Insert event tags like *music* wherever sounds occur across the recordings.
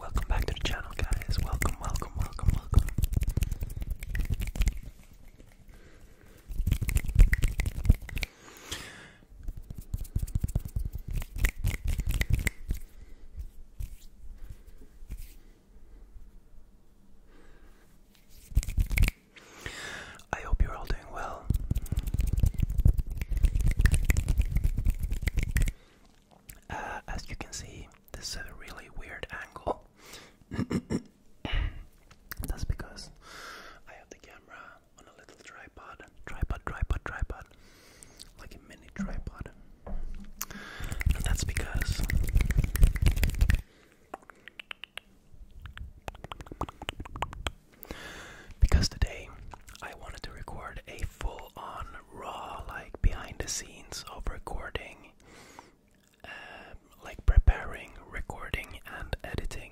Welcome back to the channel, guys. Welcome, welcome, welcome, welcome. I hope you're all doing doing well. Uh, as you can see, this is a really weird angle. *coughs* That's because I have the camera on a little tripod, tripod, tripod, tripod, like a mini tripod. And that's because because today I wanted to record a full on raw, like behind the scenes of recording, uh, like preparing, recording, and editing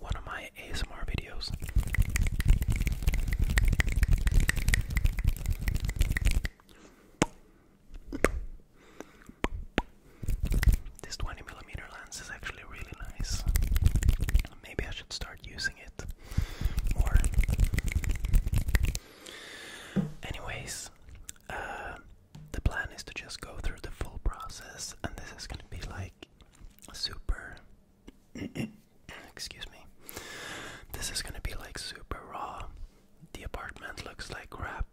one of my ASMR videos. This 20 millimeter lens is actually really nice. Maybe I should start using it more. Anyways, uh, the plan is to just go through the full process, and this is gonna be like super. *clears throat* Excuse me. This is gonna be like super raw. The apartment looks like crap.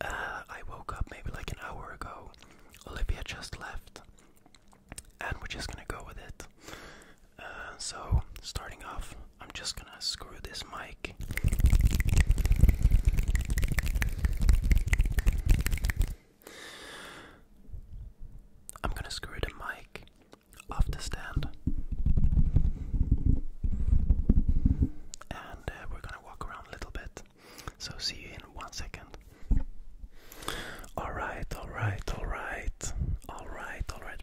Uh, I woke up maybe like an hour ago. Olivia just left and we're just gonna go with it. Uh, so, starting off, I'm just gonna screw this mic. I'm gonna screw the mic off the stand. And uh, we're gonna walk around a little bit. So see you in one second. Alright, alright, alright. Alright, alright.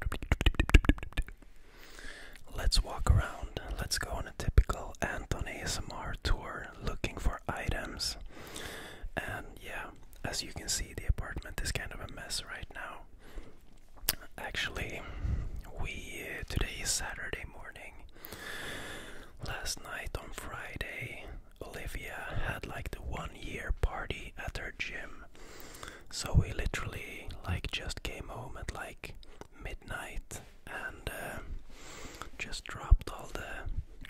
Let's walk around. Let's go on a typical Anton ASMR tour looking for items. And yeah, as you can see, the apartment is kind of a mess right now. Actually, we today is Saturday morning. Last night on Friday, Olivia had like the one year party at her gym. So we literally like just came home at like midnight and uh, just dropped all the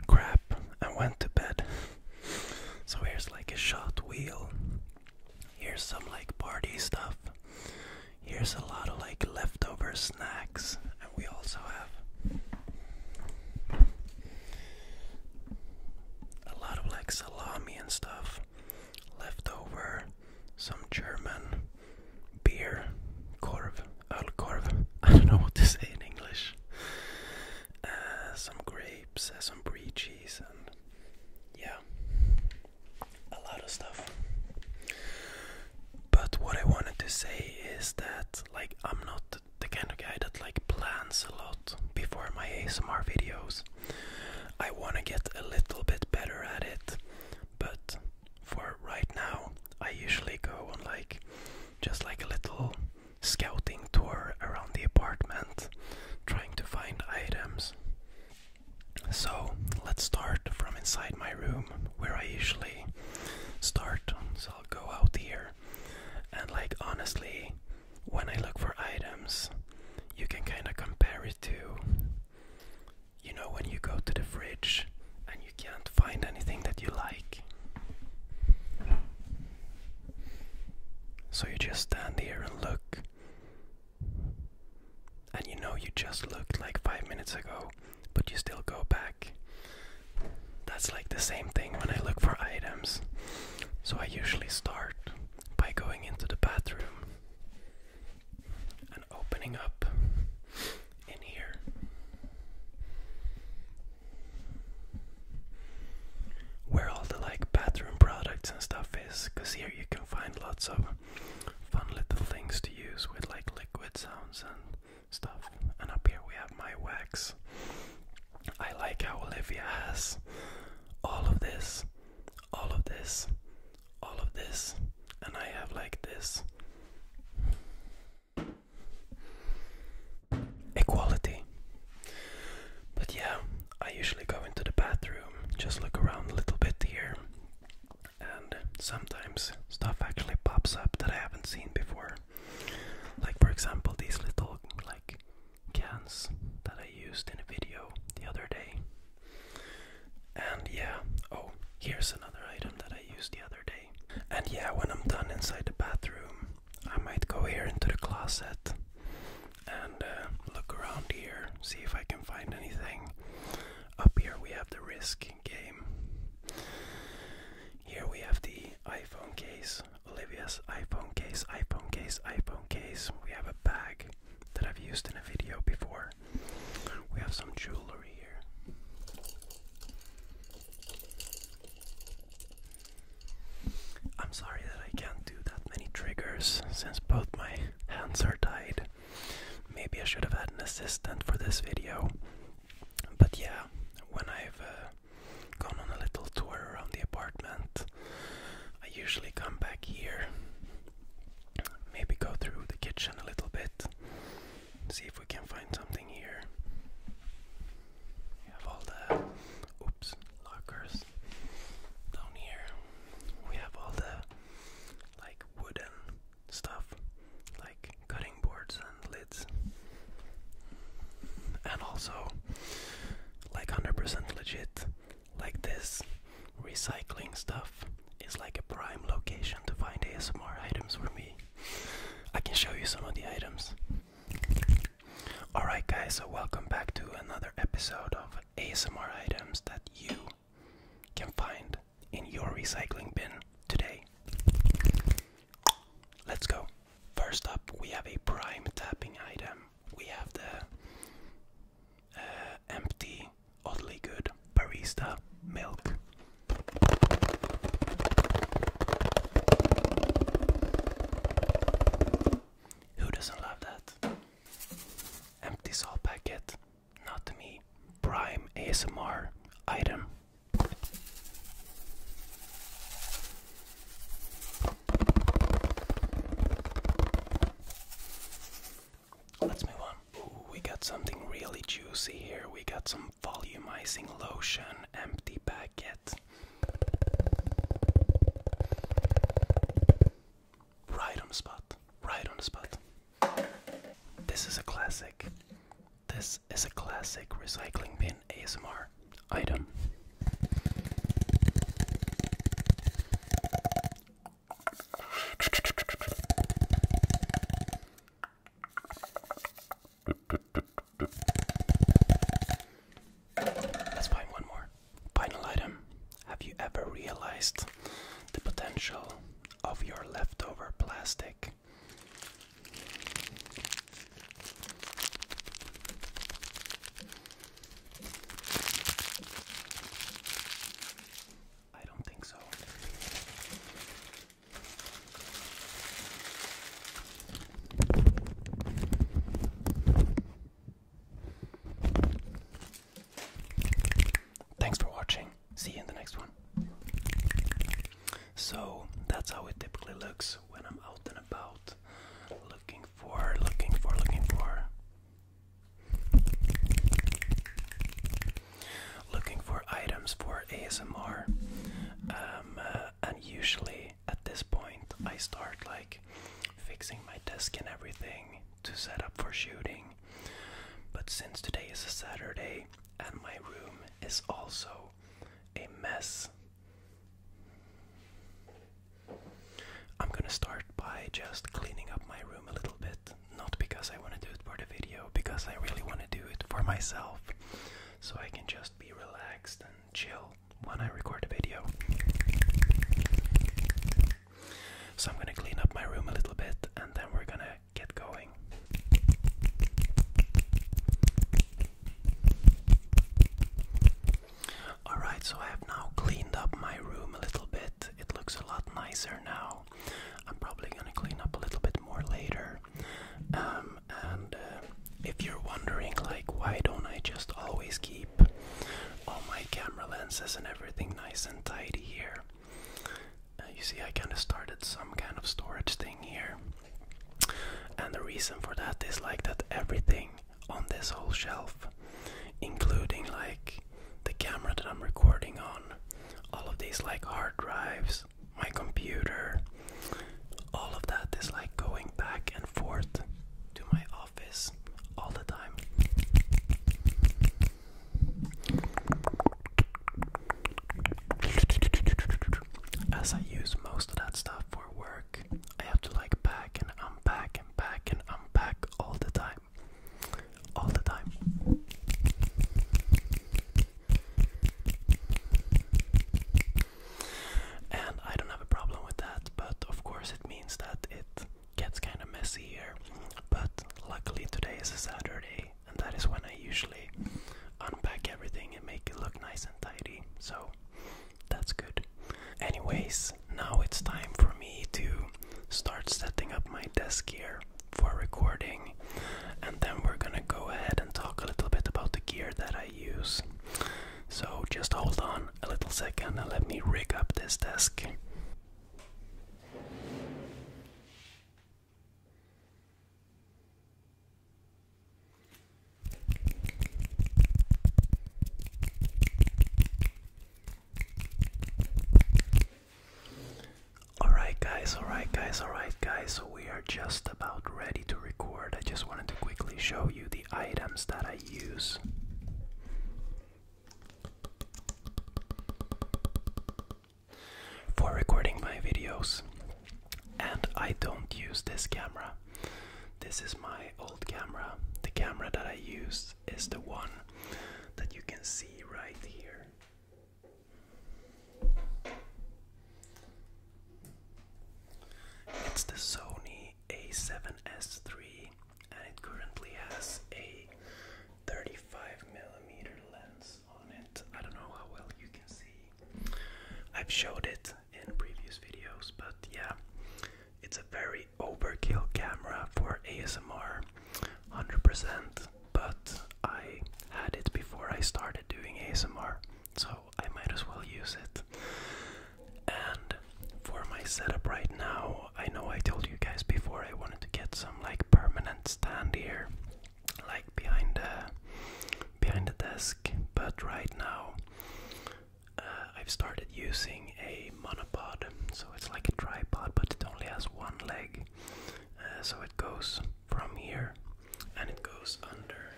crap and went to bed. so here's like a shot wheel. Here's some like party stuff. Here's a lot of like leftover snacks we also have a lot of like salami and stuff left some German beer, korv, alkorv, *laughs* I don't know what to say in English. Uh, some grapes, uh, some brie cheese, and yeah, a lot of stuff. But what I wanted to say is that, like, I'm not the kind of guy that like plans a lot before my ASMR videos. I want to get a little bit better at it, but for right now, I usually go on like just like a little scouting tour around the apartment, trying to find items. So let's start from inside my room where I usually start. So I'll go out here and like honestly, when I look for items, you can kind of compare it to you know when you go to the fridge and you can't find anything that you like. So you just stand here and look. And you know you just looked like five minutes ago, but you still go back. That's like the same thing when I look for items. So I usually start by going into the bathroom and opening up in here. Where all the like bathroom products and stuff is, because here you can find lots of fun little things to use with like liquid sounds and stuff. And up here we have my wax. I like how Olivia has all of this, all of this, all of this, and I have like this. Equality. But yeah, I usually go into the bathroom, just look around a little bit here, and sometimes stuff actually pops up that I haven't seen before. Like for example these little like cans that I used in a video the other day. And yeah, oh, here's another item that I used the other day. And yeah, when I'm done inside the bathroom, I might go here into the closet and uh, look around here, see if I can find anything. Up here we have the Risk game. Here we have the iPhone case. Olivia's iPhone case, iPhone case, iPhone case. We have a bag that I've used in a video before. We have some jewelry here. I'm sorry that I can't do that many triggers since both my hands are tied. Maybe I should have had an assistant for this video. But yeah, when I've uh, gone on a little tour around the apartment. I usually come back here, maybe go through the kitchen a little bit, see if we can find something here. We have all the oops lockers down here. We have all the like wooden stuff, like cutting boards and lids. And also, like 100% legit, like this, recycling stuff is like a prime location to find ASMR items for me. I can show you some of the items. Alright, guys, so welcome back to another episode of ASMR items that you can find in your recycling bin today. Let's go. First up, we have a prime tapping item. We have the uh, empty, oddly good barista milk. Who doesn't love that? Empty salt packet, not to me. Prime ASMR item. Let's move on. we got something really juicy here. We got some volumizing lotion, empty packet. Right on the spot. Right on the spot. This is a classic. This is a classic recycling bin ASMR item. Let's find one more. Final item. Have you ever realized the potential of your leftover plastic I don't think so. Thanks for watching. See you in the next one. So that's how it typically looks when I'm out and about looking for, looking for, looking for. Looking for items for ASMR, um, uh, and usually at this point I start like fixing my desk and everything to set up for shooting. But since today is a Saturday and my room is also a mess, I'm gonna start by just cleaning up my room a little bit. Not because I want to do it for the video, because I really want to do it for myself. So I can just be relaxed and chill when I record a video. So I'm gonna clean up my room a little bit and then we're gonna get going. Alright, so I have now cleaned up my room a little bit. It looks a lot nicer now. I'm probably gonna clean up a little bit more later. Um, and uh, if you're wondering, like, why don't I just always keep all my camera lenses and everything nice and tidy here? Uh, you see, I kind of started some kind of storage thing here. And the reason for that is like that everything on this whole shelf, including like the camera that I'm recording on, all of these like hard drives, my computer, all of that is like going back and forth to my office all the time. As I use most of that stuff for work, I have to like pack and unpack and pack and unpack all the time. All the time. And I don't have a problem with that, but of course it means that it gets kind of messy here. But luckily today is a Saturday, and that is when I usually unpack everything and make it look nice anxiety, so that's good. Anyways, now it's time for me to start setting up my desk here for recording, and then we're gonna go ahead and talk a little bit about the gear that I use. So just hold on a little second and let me rig up this desk. Alright, guys, alright, guys, alright, guys. So we are just about ready to record. I just wanted to quickly show you the items that I use. For recording my videos, and I don't use this camera. This is my old camera. The camera that I use is the one that you can see right here. It's the Sony A7S3 and it currently has a 35mm lens on it. I don't know how well you can see I've showed it in previous videos, but yeah, it's a very overkill camera for ASMR, 100%. But I had it before I started doing ASMR, so I might as well use it. And for my setup right now, I know I told you guys before I wanted to get some like permanent stand here like behind the behind the desk. But right now, uh, I've started using a monopod, so it's like a tripod, but it only has one leg. Uh, so it goes from here, and it goes under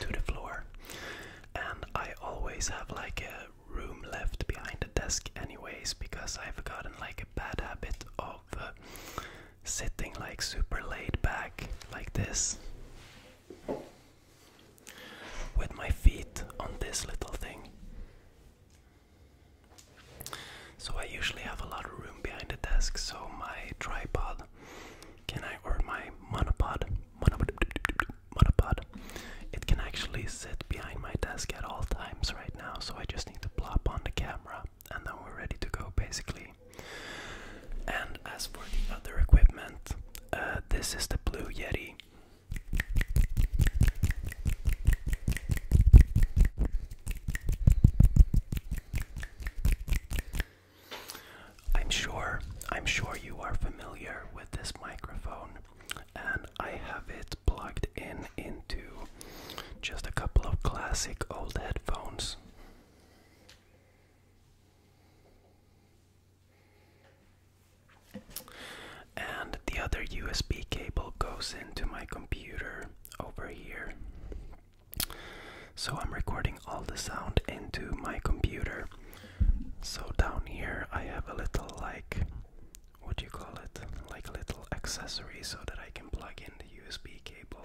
to the floor. And I always have like a room left behind the desk, anyways, because I've gotten like a bad habit of uh, sitting like super laid back, like this, with my feet on this little thing. So I usually have a lot of room behind the desk, so my tripod can I or my monopod monopod monopod it can actually sit behind my desk at all times right now so I just need to plop on the camera and now we're ready to go basically. And as for the other equipment, uh, this is the Blue Yeti. I'm sure, I'm sure you are familiar with this microphone, and I have it plugged in into just a couple of classic old headphones. And the other USB cable goes into my computer over here. So I'm recording all the sound into my computer. So down here I have a little like what do you call it? Like a little accessory so that I can plug in USB cable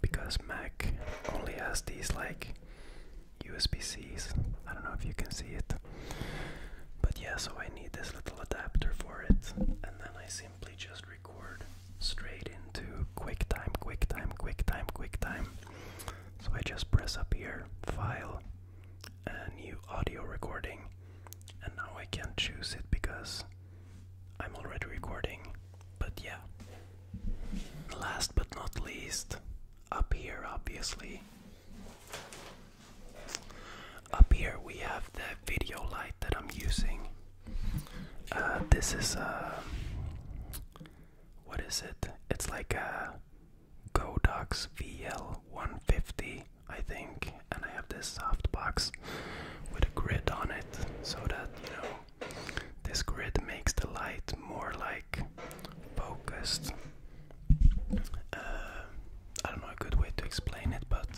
because Mac only has these like USB C's. I don't know if you can see it, but yeah, so I need this little adapter for it, and then I simply just record straight into QuickTime, QuickTime, QuickTime, QuickTime. So I just press up here, File, and New Audio Recording, and now I can choose it because I'm already recording, but yeah. Last but not least, up here, obviously. Up here, we have the video light that I'm using. Uh, this is a. Uh, what is it? It's like a Godox VL150, I think and I have this soft box with a grid on it so that you know this grid makes the light more like focused. Uh, I don't know a good way to explain it, but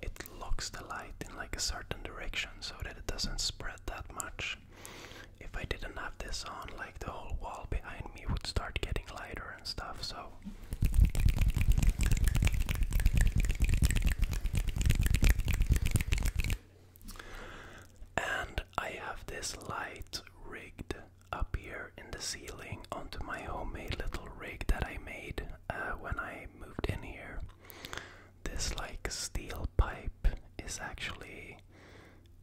it locks the light in like a certain direction so that it doesn't spread that much. If I didn't have this on, like the whole wall behind me would start getting lighter and stuff, so and I have this light rigged up here in the ceiling onto my homemade little rig that I made uh, when I moved in here. This like steel pipe is actually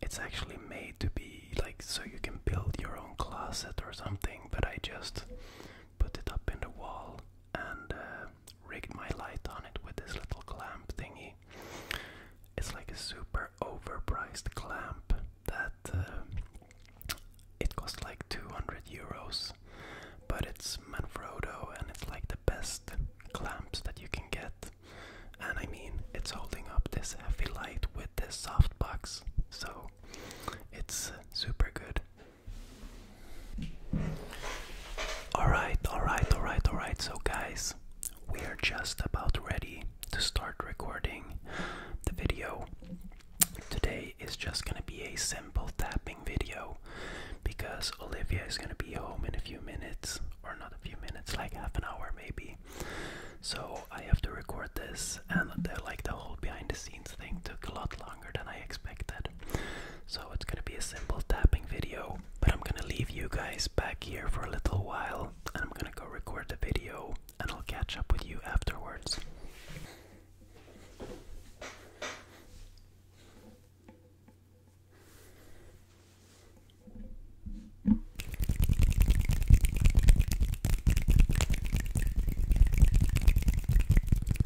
it's actually made to be like so you can build your own closet or something, but I just put it up in the wall and uh, my light on it with this little clamp thingy. It's like a super overpriced clamp that uh, it costs like 200 euros, but it's Manfrotto and it's like the best clamps that you can get. And I mean, it's holding up this heavy light with this soft box, so it's uh, super good. Alright, alright, alright, alright. So, guys, we are just about ready to start recording the video. Today is just gonna be a simple tapping video because Olivia is gonna be home in a few minutes, or not a few minutes, like half an hour maybe. So, I have to record this and like the whole behind the scenes thing took a lot longer than I expected. So it's gonna be a simple tapping video, but I'm gonna leave you guys back here for a little while and I'm gonna go record the video and I'll catch up with you afterwards.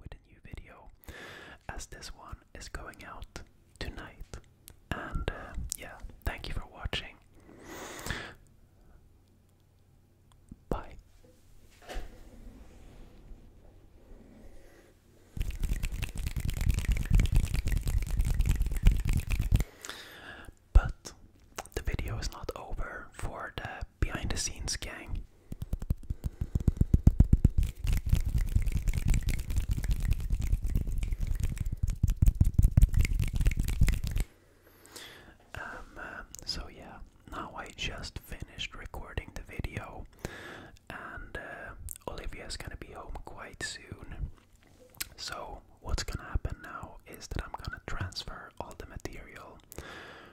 With a new video, as this one is going out tonight. And uh, yeah, thank you for watching. Bye. But the video is not over for the behind the scenes gang. Um, um, so yeah, now I just finished recording the video, and uh, Olivia's gonna be home quite soon. So, what's gonna happen now is that I'm gonna transfer all the material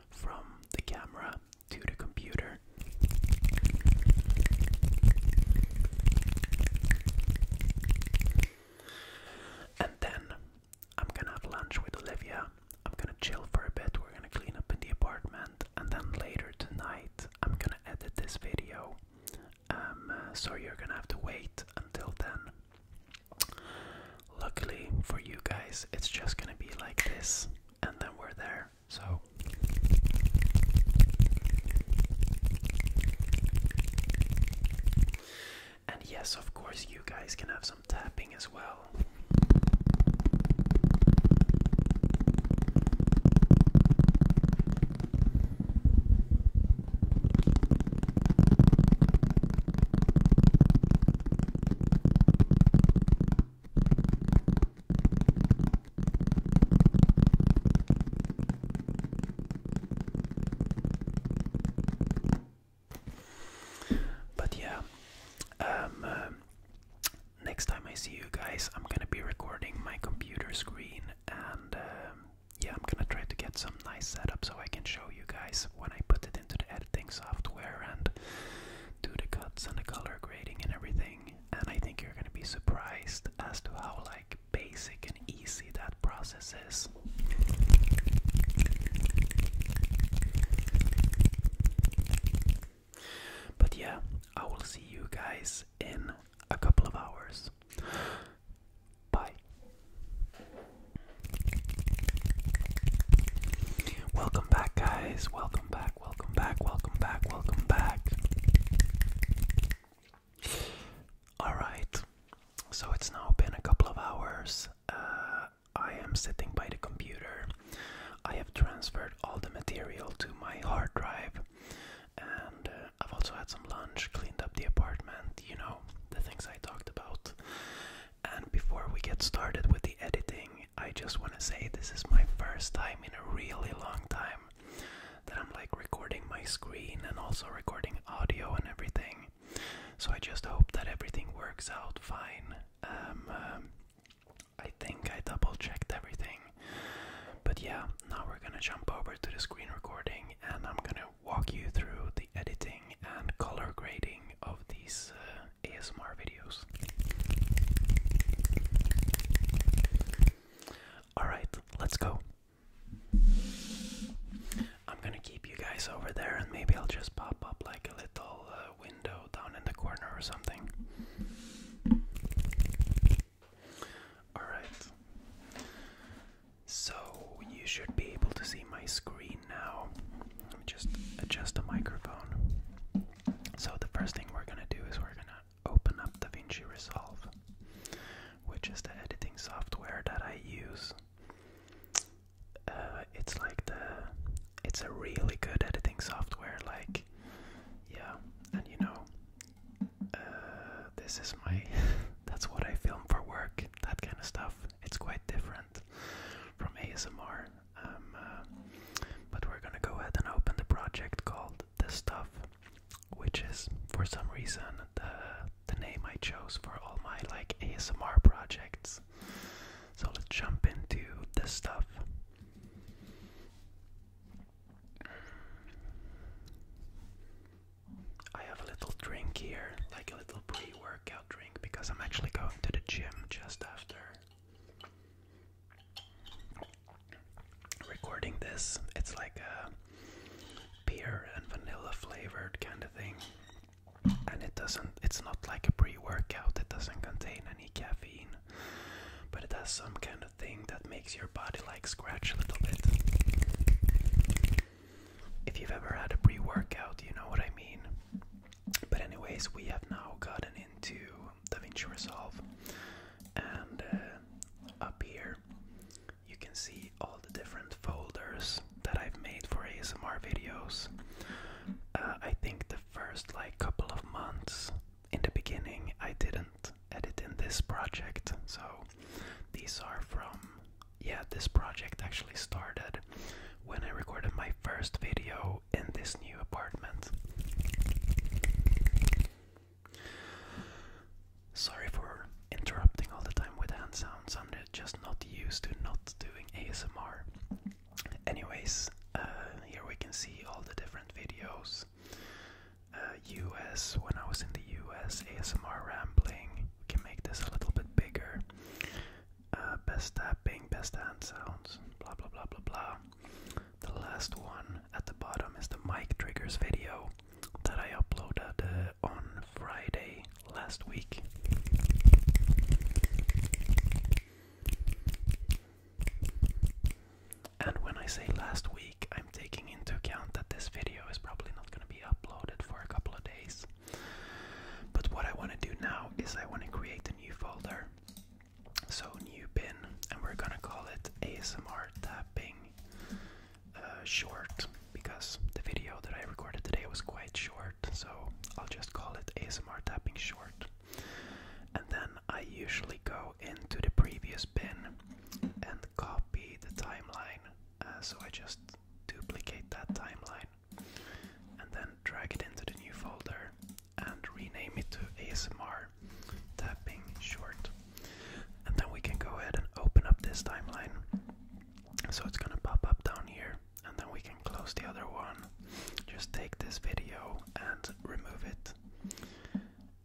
from the camera to the computer. And then I'm gonna have lunch with Olivia. I'm gonna chill for a bit. We're gonna clean up in the apartment, and then later tonight I'm gonna edit this video. Um, uh, so you're gonna have to wait until then. Luckily for you guys, it's just gonna be like this, and then we're there. So. And yes, of course, you guys can have some tapping as well. But yeah, um, uh, next time I see you guys, I'm gonna be recording my computer screen, and um, yeah, I'm gonna try to get some nice setup so I can show you guys when I put it into the editing software and do the cuts and the color grading and everything. And I think you're gonna be surprised as to how like basic and easy that process is. But yeah, I will see you guys in a couple of hours. Bye. Welcome back, guys. Welcome back, welcome back, welcome back, welcome back. Alright, so it's now been a couple of hours. Uh, I am sitting by the computer. I have transferred all the material to my hard drive, and uh, I've also had some lunch, cleaned up the apartment, you know, the things I talked about. And before we get started with the editing, I just want to say this is my first time in a really long time that I'm like recording my screen and also recording audio and everything. So I just hope that everything works out fine. Um, um, I think I double checked everything. But yeah, now we're gonna jump over to the screen recording and I'm gonna walk you through the editing and color grading of these uh, ASMR videos. Alright, let's go. I'm gonna keep you guys over there, and maybe I'll just pop up like a little uh, window down in the corner or something. Alright. So, you should be able to see my screen now. Let me just adjust the microphone. So, the first thing we're gonna do is we're gonna open up DaVinci Resolve which is the editing software that I use. Uh, it's like the it's a really good editing software. Like, yeah, and you know, uh, this is my *laughs* that's what I film for work. That kind of stuff. It's quite different from ASMR. Um, uh, but we're gonna go ahead and open the project called The Stuff which is for some reason the the name I chose for all my like ASMR projects. So let's jump into this stuff. I have a little drink here, like a little pre-workout drink, because I'm actually going to the gym just after recording this. It's like a beer and vanilla flavored kind of thing. And it doesn't, it's not like a pre workout, it doesn't contain any caffeine, but it has some kind of thing that makes your body like scratch a little bit. If you've ever had a pre workout, you know what I mean. But, anyways, we have now gotten into DaVinci Resolve and uh, up here you can see all the different folders that I've made for ASMR videos. Uh, I think the first like couple of months in the beginning I didn't edit in this project, so these are from yeah, this project actually started when I recorded my first video in this new apartment. Sorry for interrupting all the time with hand sounds. I'm just not used to not doing ASMR. Anyways, uh, here we can see all the different videos. US, uh, when I was in the US, ASMR rambling. We can make this a little bit bigger. Uh, best tapping, best hand sounds, blah blah blah blah blah. The last one at the bottom is the mic triggers video that I uploaded uh, on Friday last week. And when I say last week, I'm taking into account that this video is probably not going to be uploaded for a couple of days. But what I want to do now is I want to create a new folder. So, new bin, and we're going to call it ASMR Tapping uh, short because the video that I recorded today was quite short, so I'll just call it ASMR tapping short. And then I usually go into the previous bin and copy the timeline. Uh, so I just duplicate that timeline and then drag it into the new folder and rename it to ASMR tapping short. And then we can go ahead and open up this timeline. So it's gonna pop up down here, and then we can close the other one. Just take this video and remove it.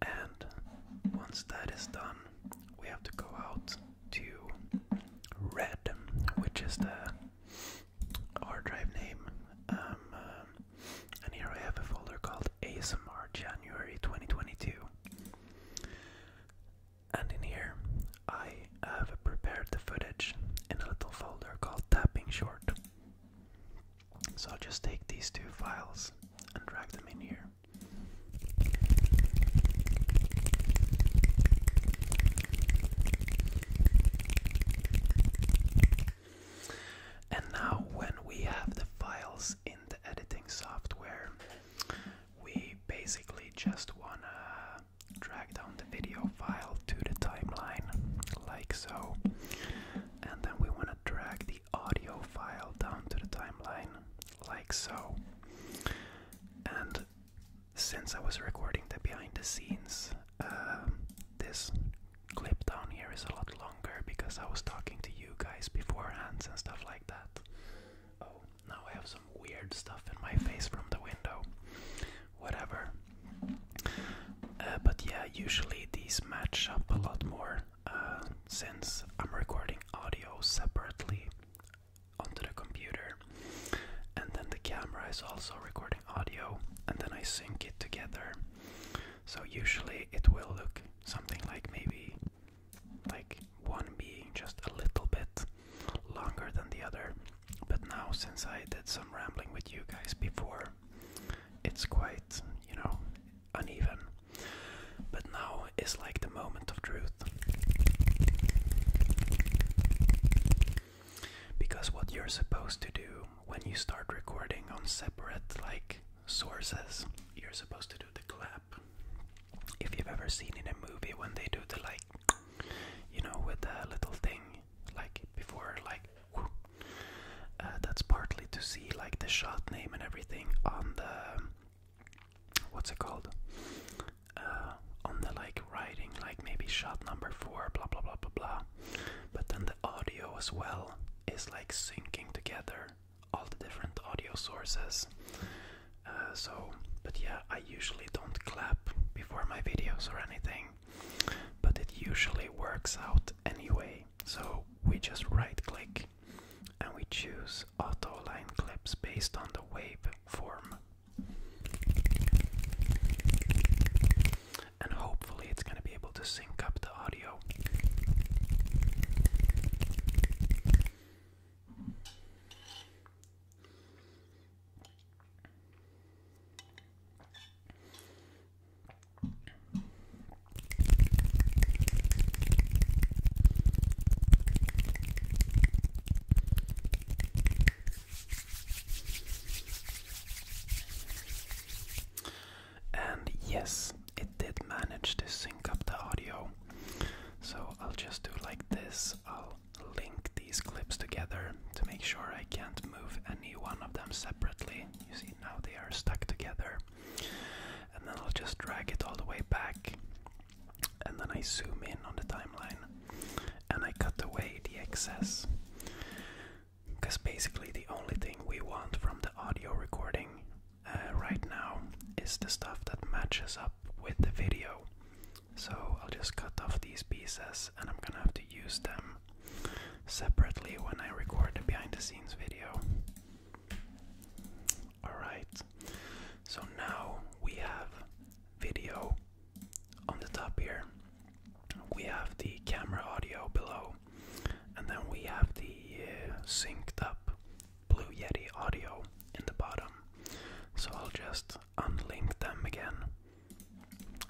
And once that is done, we have to go out to red, which is the hard drive name. Um, uh, and here I have a folder called ASMR January 2022. And in here, I have prepared the footage in a little folder called Tapping Short. So I'll just take these two files and drag them in here. And now, when we have the files in the editing software, we basically just wanna drag down the video file to the timeline, like so, and then we wanna drag the audio file down to the timeline, like so. And since I was recording the behind the scenes, um, this clip down here is a lot longer because I was talking to you guys beforehand and stuff like that. Oh, now I have some weird stuff in my face from the window. Whatever. Uh, but yeah, usually these match up a lot more uh, since I'm recording audio separately onto the computer, and then the camera is also recording audio, and then I sync it together. So usually it will look something like maybe like one being just a little bit longer than the other. But now, since I did some rambling with you guys before, it's quite, you know, uneven. But now is like the moment of truth. Because what you're supposed to do when you start recording on separate, like, sources, you're supposed to do the clap. If you've ever seen in a movie when they do the like, you know, with the little thing, like before, like, uh, that's partly to see like the shot name and everything on the, what's it called? Uh, on the like writing, like maybe shot number four, blah blah blah blah blah. But then the audio as well is like syncing together all the different audio sources. Uh, so, but yeah, I usually don't clap before my videos or anything, but it usually works out anyway. So, we just right click and we choose auto line clips based on the wave form. And hopefully, it's going to be able to sync up the audio. And yes, it did manage to sync up the audio. So I'll just do like this. I'll link these clips together to make sure I can't move any one of them separately. You see, now they are stuck together. And then I'll just drag it all the way back. And then I zoom in on the timeline and I cut away the excess. Because basically, the only thing we want from the audio recording uh, right now is the stuff that matches up with the video. So I'll just cut off these pieces and I'm gonna have to use them separately when I record the behind the scenes video. Alright, so now we have video on the top here, we have the camera audio below, and then we have the uh, synced up Blue Yeti audio in the bottom. So I'll just unlink them again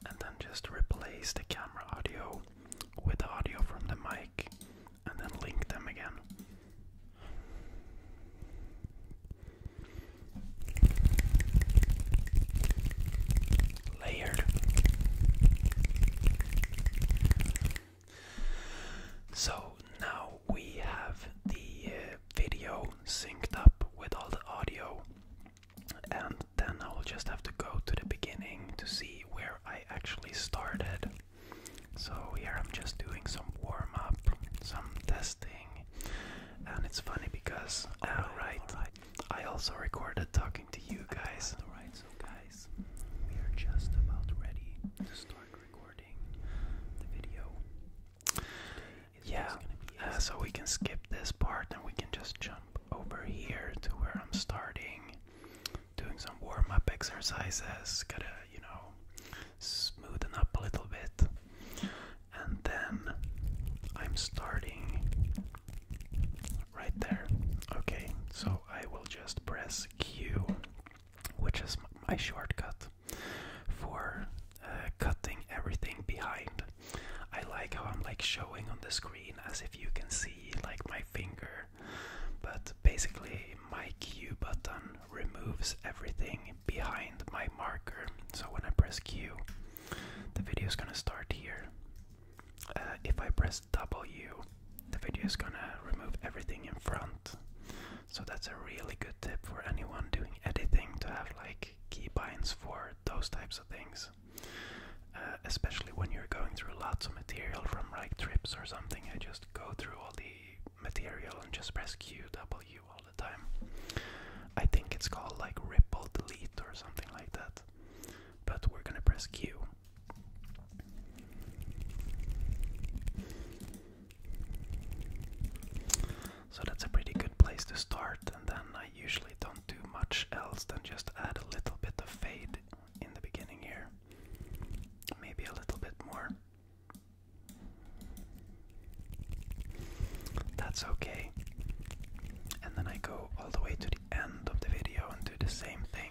and then just replace the camera audio with the audio from the mic and then link them again. Layered. So now we have the uh, video synced up with all the audio, and then I'll just have to go to the beginning to see where I actually started. So here I'm just doing some warm up, some testing, and it's funny because uh, right, I also recorded talking to you guys. Alright, so guys, we are just about ready to start recording. Yeah, uh, so we can skip this part and we can just jump over here to where I'm starting, doing some warm up exercises, gotta, you know, smoothen up a little bit. And then I'm starting right there. Okay, so I will just press Q which is my shortcut for uh, cutting everything behind. I like how I'm like showing on the screen as if you can see like my finger, but basically my Q button removes everything behind my marker. So when I press Q, the video is gonna start here. Uh, if I press W, the video is gonna remove everything in front. So that's a really good tip for anyone doing editing to have like keybinds for those types of things. Uh, especially when you're going through lots of material from like trips or something, I just go through all the material and just press Q W all the time. I think it's called like ripple delete or something like that. But we're gonna press Q. So that's a pretty good place to start, and then I usually don't do much else than just add a little bit of fade in the beginning here. Maybe a little bit more. That's okay. And then I go all the way to the end of the video and do the same thing.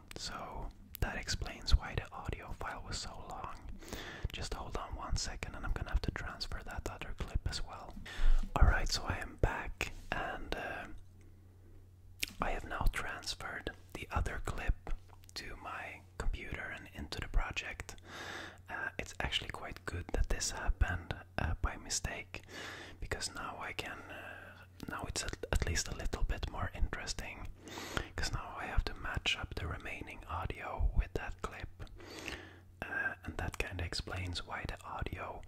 so that explains why the audio file was so long. Just hold on one second and I'm gonna have to transfer that other clip as well. Alright, so I am back and uh, I have now transferred the other clip to my computer and into the project. Uh, it's actually quite good that this happened uh, by mistake because now I can now it's at least a little bit more interesting because now I have to match up the remaining audio with that clip, uh, and that kind of explains why the audio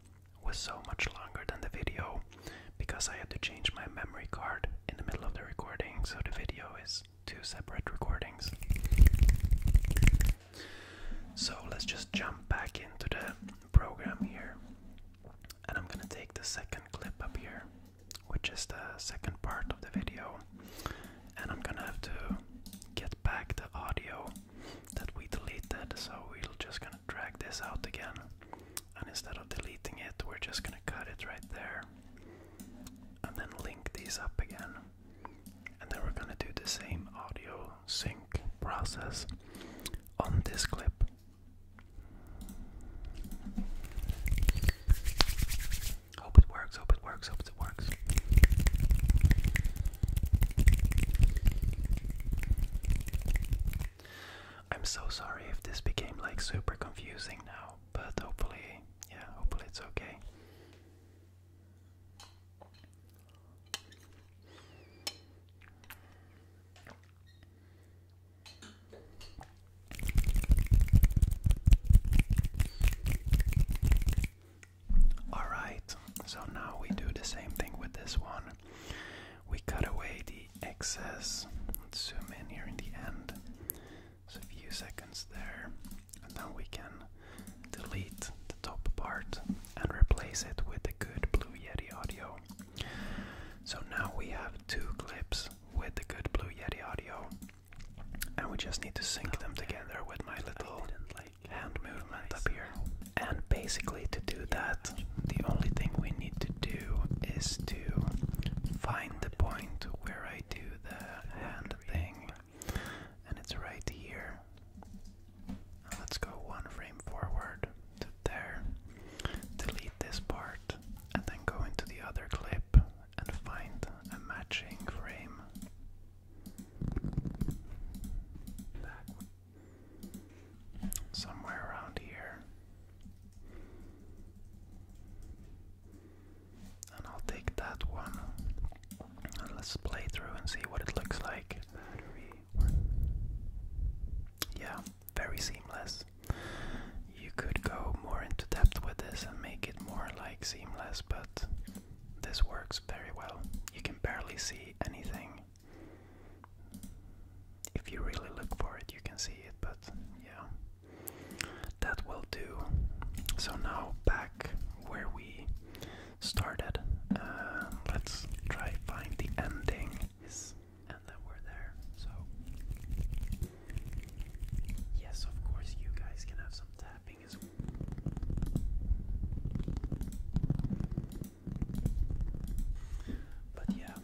was so much longer than the video because I had to change my memory card in the middle of the recording, so the video is two separate recordings. So let's just jump back into the program here, and I'm gonna take the second clip up here which is the second part of the video. And I'm gonna have to get back the audio that we deleted, so we're just gonna drag this out again. And instead of deleting it, we're just gonna cut it right there. And then link these up again. And then we're gonna do the same audio sync process on this clip. Hope it works, hope it works, hope it works. I'm so sorry if this became like super confusing now, but hopefully, yeah, hopefully it's okay. Alright, so now we do the same thing with this one. We cut away the excess. Let's zoom in here in the end. So a few seconds there. And then we can delete the top part and replace it with the good Blue Yeti audio. So now we have two clips with the good Blue Yeti audio. And we just need to sync them together with my little hand movement up here. And basically, to do that, the only thing we need to do is to find the point where I do the hand thing. And it's right here. let's go one frame forward there. Delete this part and then go into the other clip and find a matching frame. Somewhere around here. And I'll take that one. And let's play through and see what it looks like. Yeah, very seamless. You could go more into depth with this and make it more like seamless, but this works very well. You can barely see anything. If you really look for it, you can see it, but yeah, that will do. So now back where we started. Uh, let's try find the endings and then we're there. So, yes, of course, you guys can have some tapping as well. But yeah.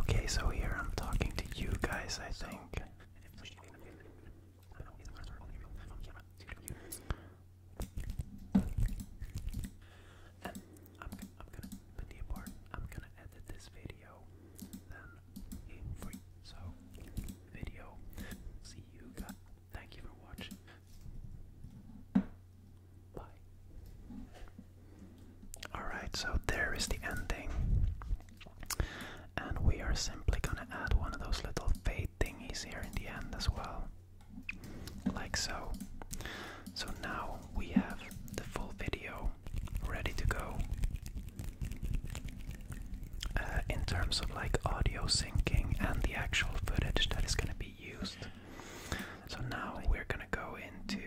Okay, so here I'm talking to you guys, I think. I'm, I'm gonna, but the important, I'm gonna edit this video, then So, video, see you guys. Thank you for watching. Bye. Alright, so there is the ending. And we are simply gonna add one of those little fade thingies here in the end as well. Like so. So now we have the full video ready to go. Uh, in terms of like audio syncing and the actual footage that is going to be used. So now we're going to go into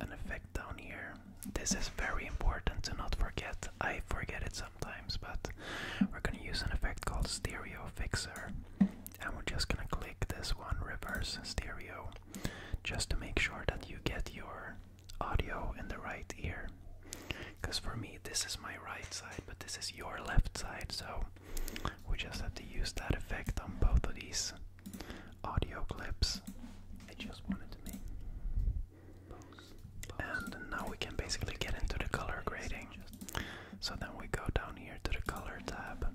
an effect down here. This is very important to not forget. I forget it sometimes, but we're going to use an effect called Stereo Fixer. And we're just going to click this one, Reverse Stereo just to make sure that you get your audio in the right ear. Because for me, this is my right side, but this is your left side, so we just have to use that effect on both of these audio clips. I just wanted to make. And now we can basically get into the color grading. So then we go down here to the color tab.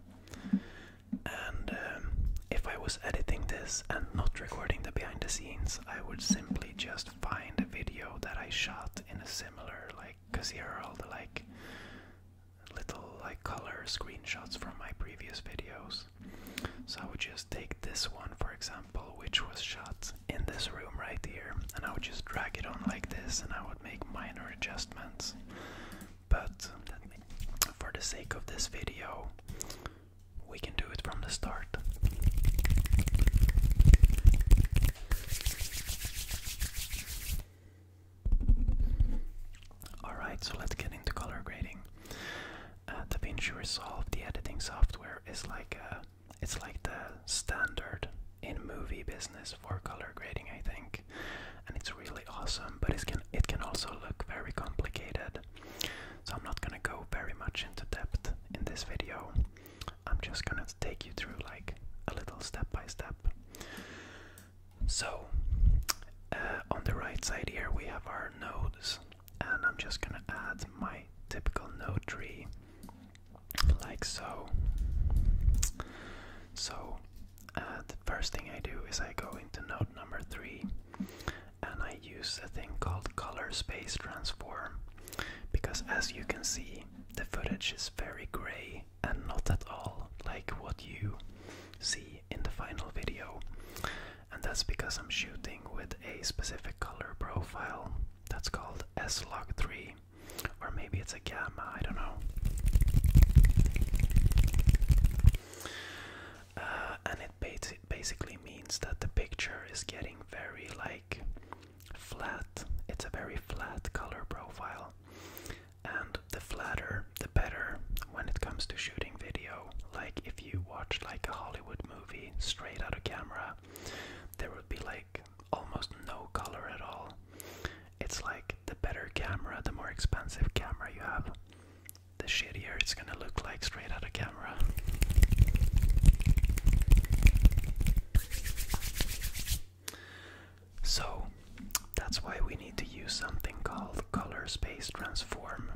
And um, if I was editing this and not recording the behind the scenes, I would simply just find a video that I shot in a similar, like, because here are all the, like, little, like, color screenshots from my previous videos. So I would just take this one, for example, which was shot in this room right here, and I would just drag it on like this, and I would make minor adjustments but for the sake of this video, we can do it from the start. Alright, so let's get into color grading. Uh, DaVinci Resolve, the editing software, is like a, uh, it's like the standard in movie business for color grading, I think and it's really awesome, but it can it can also look very complicated. So I'm not gonna go very much into depth in this video. I'm just gonna take you through like a little step by step. So uh, on the right side here we have our nodes, and I'm just gonna add my typical node tree, like so. So uh, the first thing I do is I go into node number three and I use a thing called color space transform because as you can see the footage is very gray and not at all like what you see in the final video and that's because I'm shooting with a specific color profile that's called S-Log3 or maybe it's a gamma, I don't know. Uh, and it basically means that the picture is getting very like flat. It's a very flat color profile, and the flatter, the better when it comes to shooting video. Like if you watch like a Hollywood movie straight out of camera, there would be like almost no color at all. It's like the better camera, the more expensive camera you have, the shittier it's gonna look like straight out of camera. So that's why we need to use something called color space transform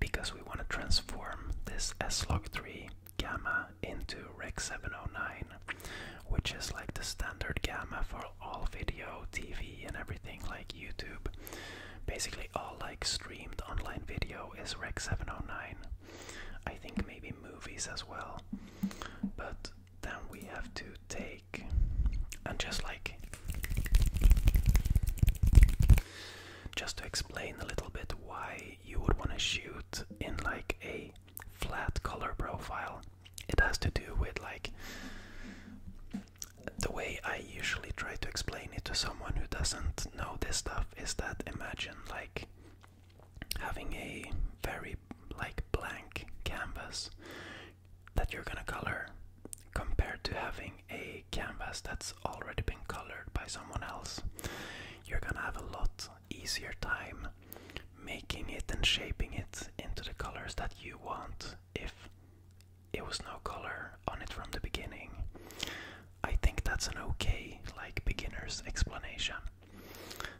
because we want to transform this S-Log3 gamma into Rec 709 which is like the standard gamma for all, video, TV, and everything like YouTube. Basically, all like streamed online video is Rec 709. I think maybe movies as well. But then we have to take and just like just to explain a little bit why you would want to shoot in like a flat color profile. It has to do with like the way I usually try to explain it to someone who doesn't know this stuff is that imagine like having a very like blank canvas that you're gonna color compared to having a canvas that's already been colored by someone else. You're gonna have a lot easier time making it and shaping it into the colors that you want if it was no color on it from the beginning. I think that's an okay, like beginner's explanation.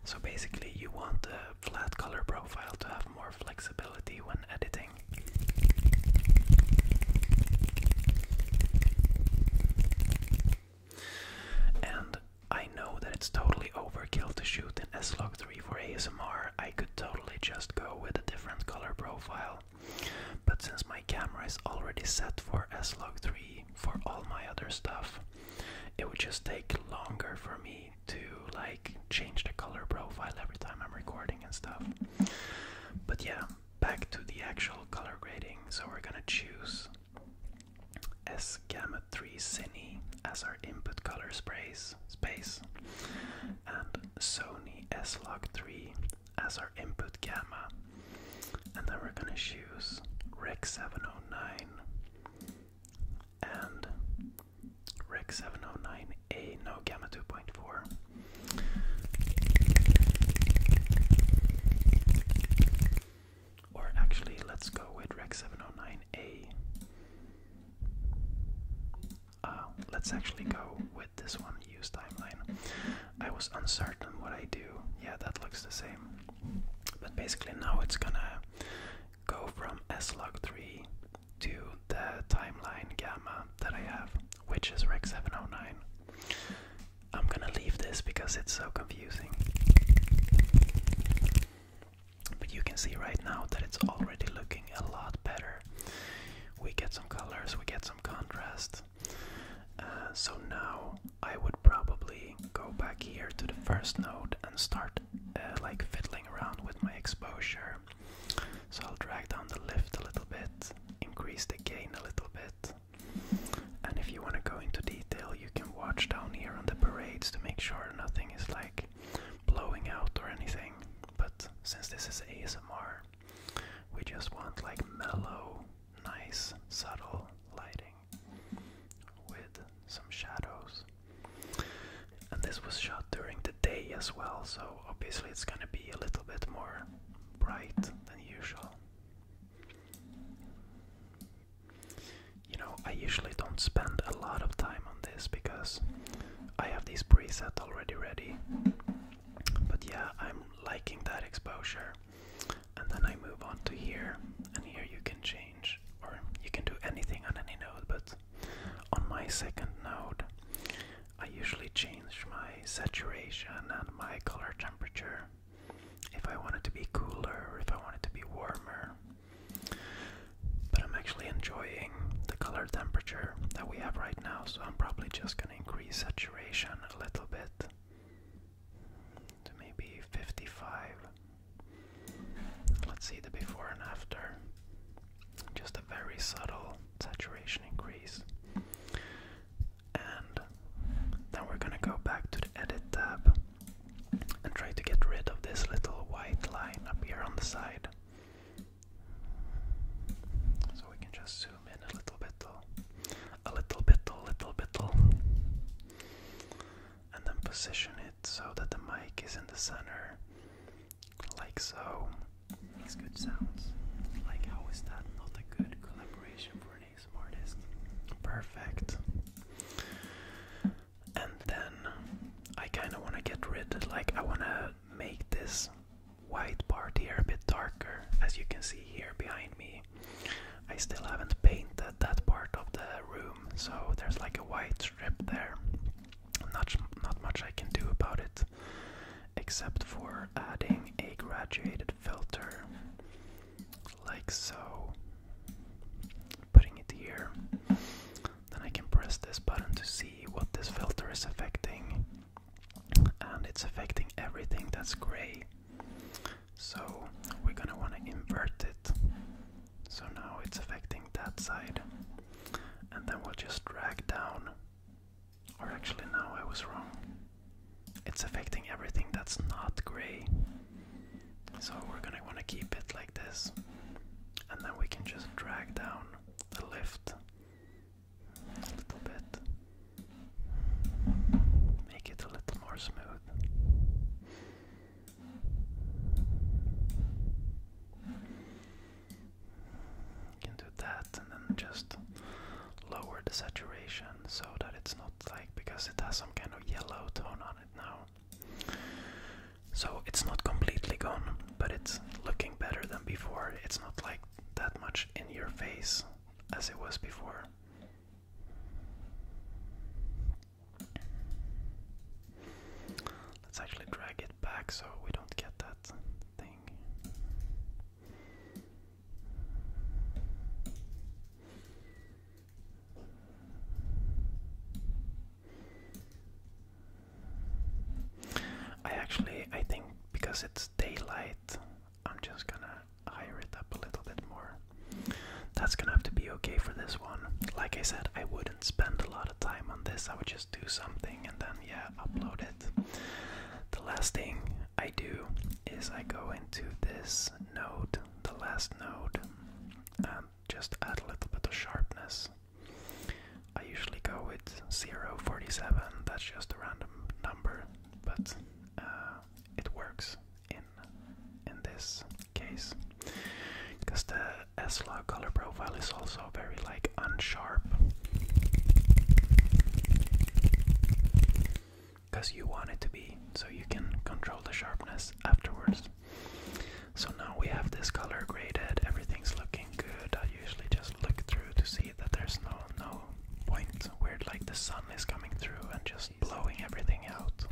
So basically, you want a flat color profile to have more flexibility when editing. And I know that it's totally overkill to shoot in S Vlog 3 for ASMR, I could totally just go with a different color profile. But since my camera is already set for S-Log 3 for all my other stuff, it would just take longer for me to like change the color profile every time I'm recording and stuff. But yeah, back to the actual color grading. So we're gonna choose S Gamma 3 Cine as our input color space space and Sony S-Log 3 as our input gamma. And then we're gonna choose Rec 709 and Rec 709A, no gamma 2.4. Or actually, let's go with Rec 709A. Uh, let's actually go with this one, use timeline. I was uncertain what I do. Yeah, that looks the same. But basically now it's gonna go from s log 3 to the timeline gamma that I have, which is rec 709. I'm gonna leave this because it's so confusing. But you can see right now that it's already looking a lot better we get some colors, we get some contrast. Uh, so now I would probably go back here to the first node and start uh, like fiddling around with my exposure. So I'll drag down the lift a little bit, increase the gain a little bit. And if you want to go into detail, you can watch down here on the parades to make sure nothing is like blowing out or anything. But since this is ASMR, we just want like mellow, nice, subtle lighting with some shadows. And this was shot during the day as well, so obviously it's gonna be a little bit more bright than usual. You know, I usually don't spend a lot of time on this because I have this preset already ready. But yeah, I'm liking that exposure. And then I move on to here, and here you can change, or you can do anything on any node, but on my second node, I usually change my saturation and my color temperature if I want it to be cooler, or if I want it to be warmer. But I'm actually enjoying the color temperature that we have right now, so I'm probably just gonna increase saturation a little bit to maybe 55. Let's see the before and after. Just a very subtle saturation increase. And then we're gonna go back to the edit tab and try to get rid of this little white line up here on the side. So we can just zoom in a little bit, a little bit, a little bit, and then position it so that the mic is in the center, like so. Makes good sounds. Like, how is that not a good collaboration for an ASMR Perfect. And then I kind of want to get rid, like I want to make this white part here a bit darker. As you can see here behind me, I still haven't painted that part of the room, so there's like a white strip there. Not, not much I can do about it, except for adding a graduated filter, like so. Putting it here, then I can press this button to see what this filter is affecting. And it's affecting everything that's gray. So we're gonna wanna invert it. So now it's affecting that side. And then we'll just drag down. Or actually, no, I was wrong. It's affecting everything that's not gray. So we're gonna wanna keep it like this. And then we can just drag down the lift a little bit. Make it a little more smooth. You can do that and then just lower the saturation so that it's not like because it has some kind of yellow tone on it now. So it's not completely gone, but it's looking better than before. It's not like that much in your face as it was before. Let's actually drag it back so we don't get that thing. I actually, I think because it's daylight, I'm just gonna hire it up a little bit more. That's gonna have to be okay for this one. Like I said, I wouldn't spend a lot of time on this. I would just do something and then, yeah, upload it. The last thing I do is I go into this node, the last node, and just add a little bit of sharpness I usually go with 047, that's just a random number, but uh, it works in in this case because the Esla color profile is also very like unsharp because you want it to be so you can control the sharpness afterwards. So now we have this color graded, everything's looking good, I usually just look through to see that there's no no point where like the sun is coming through and just blowing everything out.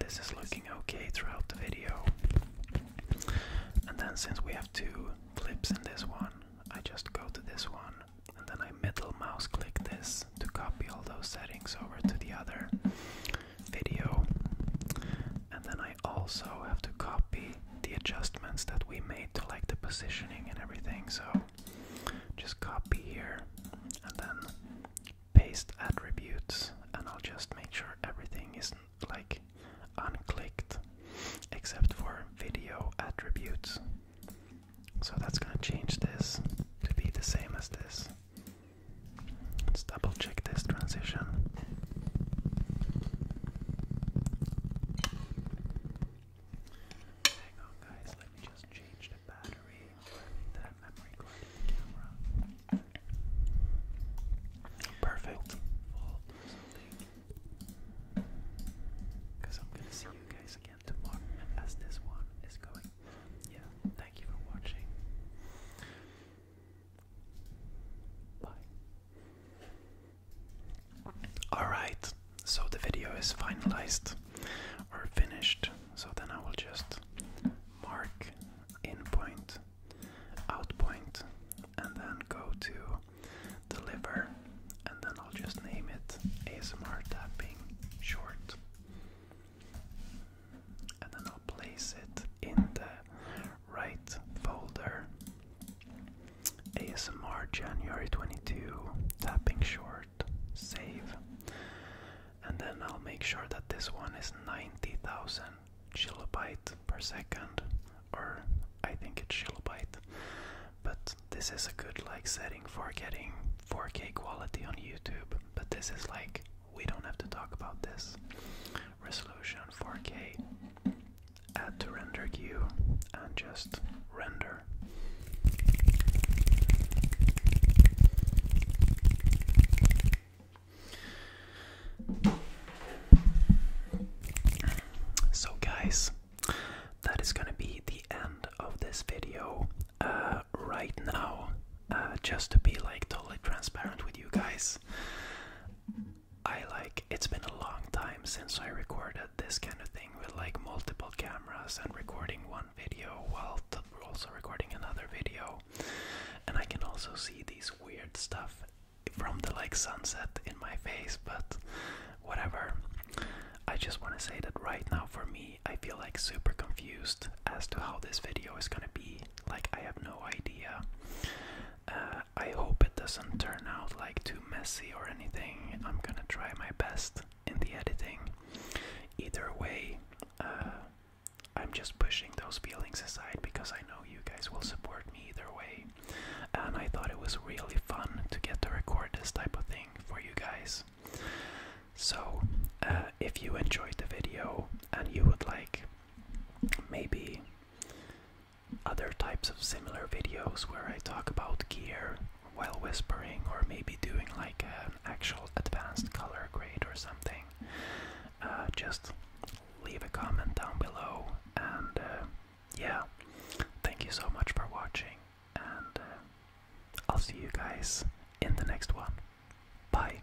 this is looking okay throughout the video. And then since we have two clips in this one, I just go to this one and then I middle mouse click this to copy all those settings over to the other video and then I also have to copy the adjustments that we made to like the positioning and everything. So just copy here and then paste attributes, and I'll just make sure everything is like unclicked except for video attributes. So that's going to change this to be the same as this. Let's double check this transition. Hang on, guys, let me just change the battery for the memory card camera. Perfect. Because I'm gonna see you guys again tomorrow as this one is going. Yeah, thank you for watching. Alright, so the video is finalized or finished. So then I will just mark in point, out point, and then go to deliver, and then I'll just name it ASMR tapping short. And then I'll place it in the right folder. ASMR January 22, tapping short, save. And then I'll make sure that this one is 90,000 kilobyte per second, or I think it's kilobyte. But this is a good like setting for getting 4K quality on YouTube. But this is like we don't have to talk about this resolution 4K, add to render queue, and just render. So, guys, that is gonna be the end of this video. Uh, right now, uh, just to be like totally transparent with you guys, I like it's been a long time since I recorded this kind of thing with like multiple cameras and recording one video while also recording another video. And I can also see these weird stuff from the like sunset in my face, but whatever. I just want to say that right now for me, I feel like super confused as to how this video is going to be. Like I have no idea. Uh, I hope it doesn't turn out like too messy or anything. I'm gonna try my best in the editing. Either way, uh, I'm just pushing those feelings aside because I know you guys will support me either way. And I thought it was really fun to get to record this type of thing for you guys. So, uh, if you enjoyed the video and you would like maybe other types of similar videos where I talk about gear while whispering or maybe doing like an actual advanced color grade or something, uh, just leave a comment down below and uh, yeah, thank you so much for watching and uh, I'll see you guys in the next one. Bye!